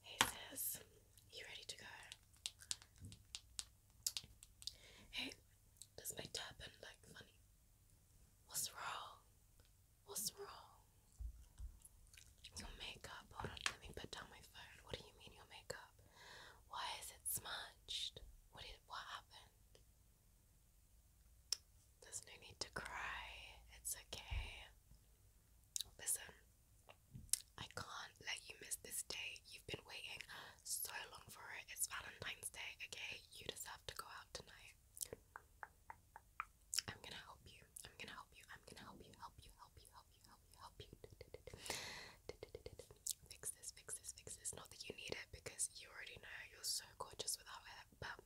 Hey sis, you ready to go? Hey, does my turban like funny? What's wrong? What's wrong? Your makeup. Hold on, let me put down my phone. What do you mean your makeup? Why is it smudged? What did what happened? There's no need to cry. It's okay. Listen, I can't let you miss this day. You've been waiting so long for it. It's Valentine's Day, okay? You deserve to go out tonight. I'm gonna help you. I'm gonna help you. I'm gonna help you. Help you. Help you. Help you. Help you. Help you fix this, fix this, fix this. Not that you need it because you already know you're so gorgeous without it, but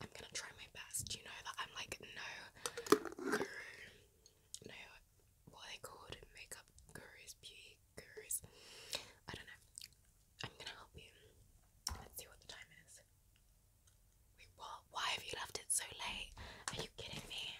I'm gonna try my best. You know that I'm like no guru, no, what they called? Makeup gurus, beauty gurus. I don't know. I'm gonna help you. Let's see what the time is. Wait, what? Why have you left it so late? Are you kidding me?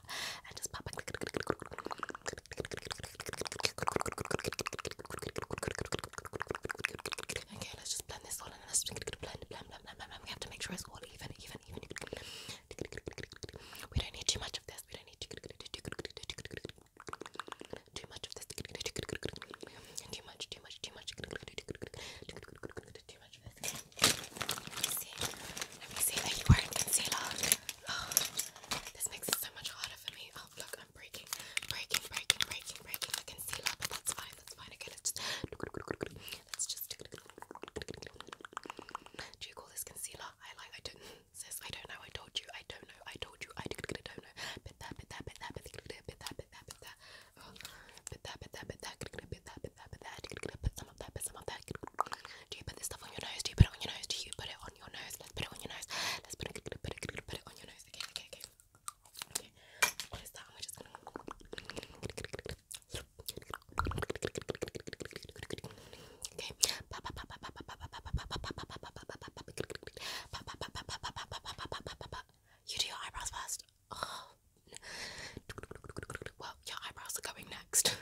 pop, and just blend this all in. just blend, blend, blend, blend, blend. We have to make sure it's all even, even, even. We don't need too much of this. We don't need too much of this. Too much, too much, too much. Too much me see. Let me see. Are you wearing concealer? Oh, this makes it so much harder for me. Oh, look, I'm breaking, breaking, breaking, breaking, breaking the concealer, but that's fine. That's fine. Okay, let just. Let's just. Do you call this concealer? I don't. Sis, I don't know. I told you. I don't know. I told you. I don't know. Bit that. Bit that. Bit that. Bit that. Bit that. Bit that. Bit that. Bit that. Bit that. Bit that. Bit that. Do you put this stuff on your nose? Do you put it on your nose? Do you put it on your nose? Let's put it on your nose. Let's put it, put it, put it, on your nose. Okay, okay, okay. Okay. What is that? Am I just gonna? Okay. You do your eyebrows first. Oh. Well, your eyebrows are going next.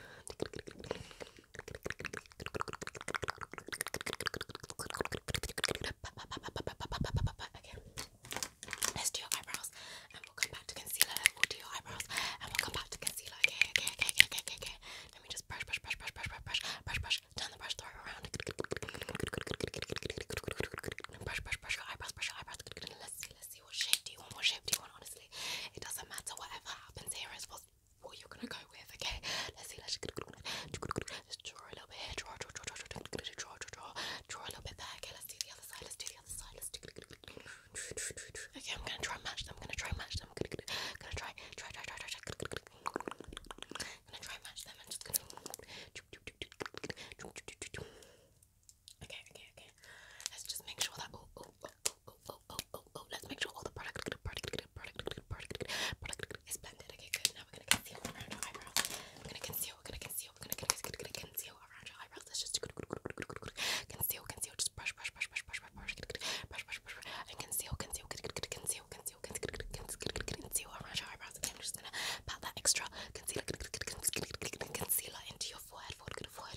Let's do your eyebrows and we'll come back to concealer. We'll do your eyebrows and we'll come back to concealer. Okay, okay, okay, okay, okay, okay. Let me just brush, brush, brush, brush, brush, brush, brush, brush, brush. Turn the brush, throw it around. Brush, brush, brush your eyebrows, brush your eyebrows. Let's see, let's see what shape do you want, what shape do you want, honestly. It doesn't matter, whatever happens here is what, what you're gonna go with, okay? Let's see, let's just draw a little bit here, draw, draw, draw, draw, draw, draw, draw, draw, draw a little bit there, okay? Let's do the other side, let's do the other side, let's do Okay, I'm gonna try and match them, I'm gonna try and match them, I'm gonna, gonna try, try, try, try, try, try, I'm gonna try and match them, I'm just gonna. Okay, okay, okay. Let's just make sure that oh oh oh oh oh oh oh oh let's make sure all the product good product good product good product good product is blended. Okay, good. Now we're gonna conceal around your eyebrows. We're gonna conceal, we're gonna conceal, we're gonna conceal, we're gonna conceal around your eyebrows. Let's just conceal, conceal, just brush, brush, brush, brush, brush, brush, brush, brush, brush, brush, and conceal, conceal, conceal, conceal, conceal around your eyebrows. Okay, I'm just gonna pat that extra concealer concealer into your forehead, forehead, forehead,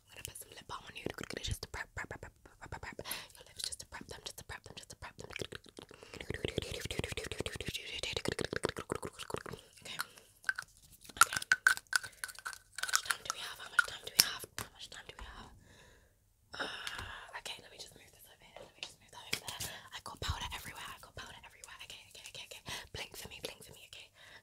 I'm gonna put some lip balm on you just to prep, prep, prep, prep, prep, prep, prep. Your lips just to prep them, just to prep them, just to prep them. Okay. Okay. How much time do we have? How much time do we have? How much time do we have? Uh, okay, let me just move this over here. Let me just move that over there. I got powder everywhere. I got powder everywhere. Okay, okay, okay, okay. Blink for me, blink for me. Okay.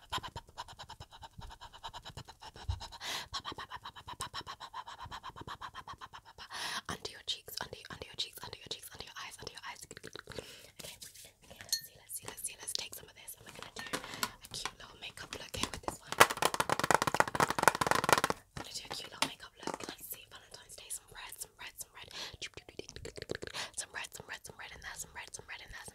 under your cheeks, under under your cheeks, under your cheeks, under your eyes, under your eyes. Okay, let's see, let's see, let's see, let's take some of this, and we're gonna do a cute little makeup look Okay, with this one. I'm gonna do a cute little makeup look. Let's see, Valentine's Day, some red, some red, some red, some red, some red, some red in there, some red, some red in there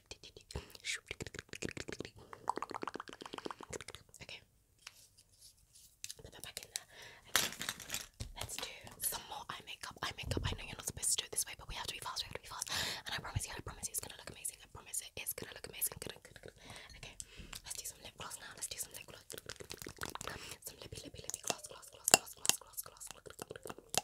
Okay. Put that back in there. Let's do some more eye makeup. Eye makeup. I know you're not supposed to do it this way, but we have to be fast. We have to be fast. And I promise you, I promise you, it's gonna look amazing. I promise it is gonna look amazing. Okay. Let's do some lip gloss now. Let's do some lip gloss. Some lippy, lippy, lippy gloss, gloss, gloss, gloss, gloss, gloss. gloss.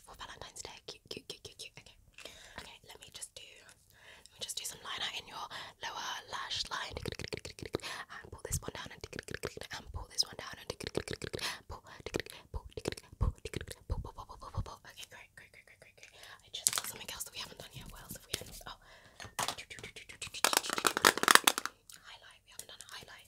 for Valentine's Day. Cute, cute, cute, cute, cute. Okay. Okay, let me just do let me just do some liner in your lower lash line. And pull this one down and pull this one down and pull pull pull pull pull pull pull pull. Okay, great, great, great, great, great, great. I just saw something else that we haven't done yet. What else have we done? Oh highlight, we haven't done a highlight.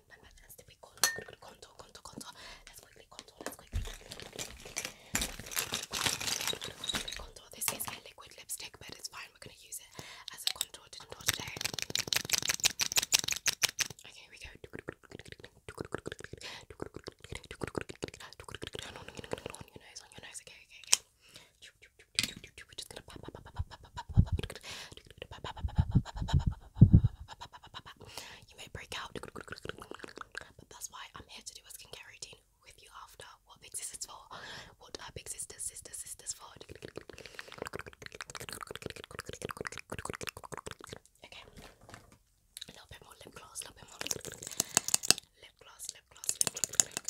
matte, matte, Let's quickly contour. Let's quickly contour. This is a liquid lipstick, but it's fine. We're gonna use it as a contour today. Okay, here we go. On your nose, on your nose. okay. We're just gonna You may break out, that's why I'm here to do a skincare routine with you after. What big sisters for? What are sisters, sisters, sisters for? Okay. A little bit more lip gloss, a little bit more lip gloss, lip gloss, lip gloss.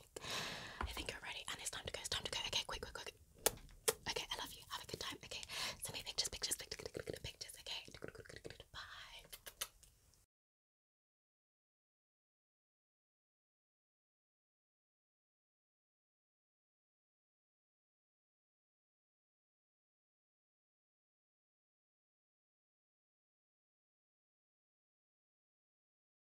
I think you're ready and it's time to go, it's time to go. Okay, quick, quick, quick. Okay, I love you. Have a good time. Okay. Send me pictures, pictures, pictures, okay. Bye.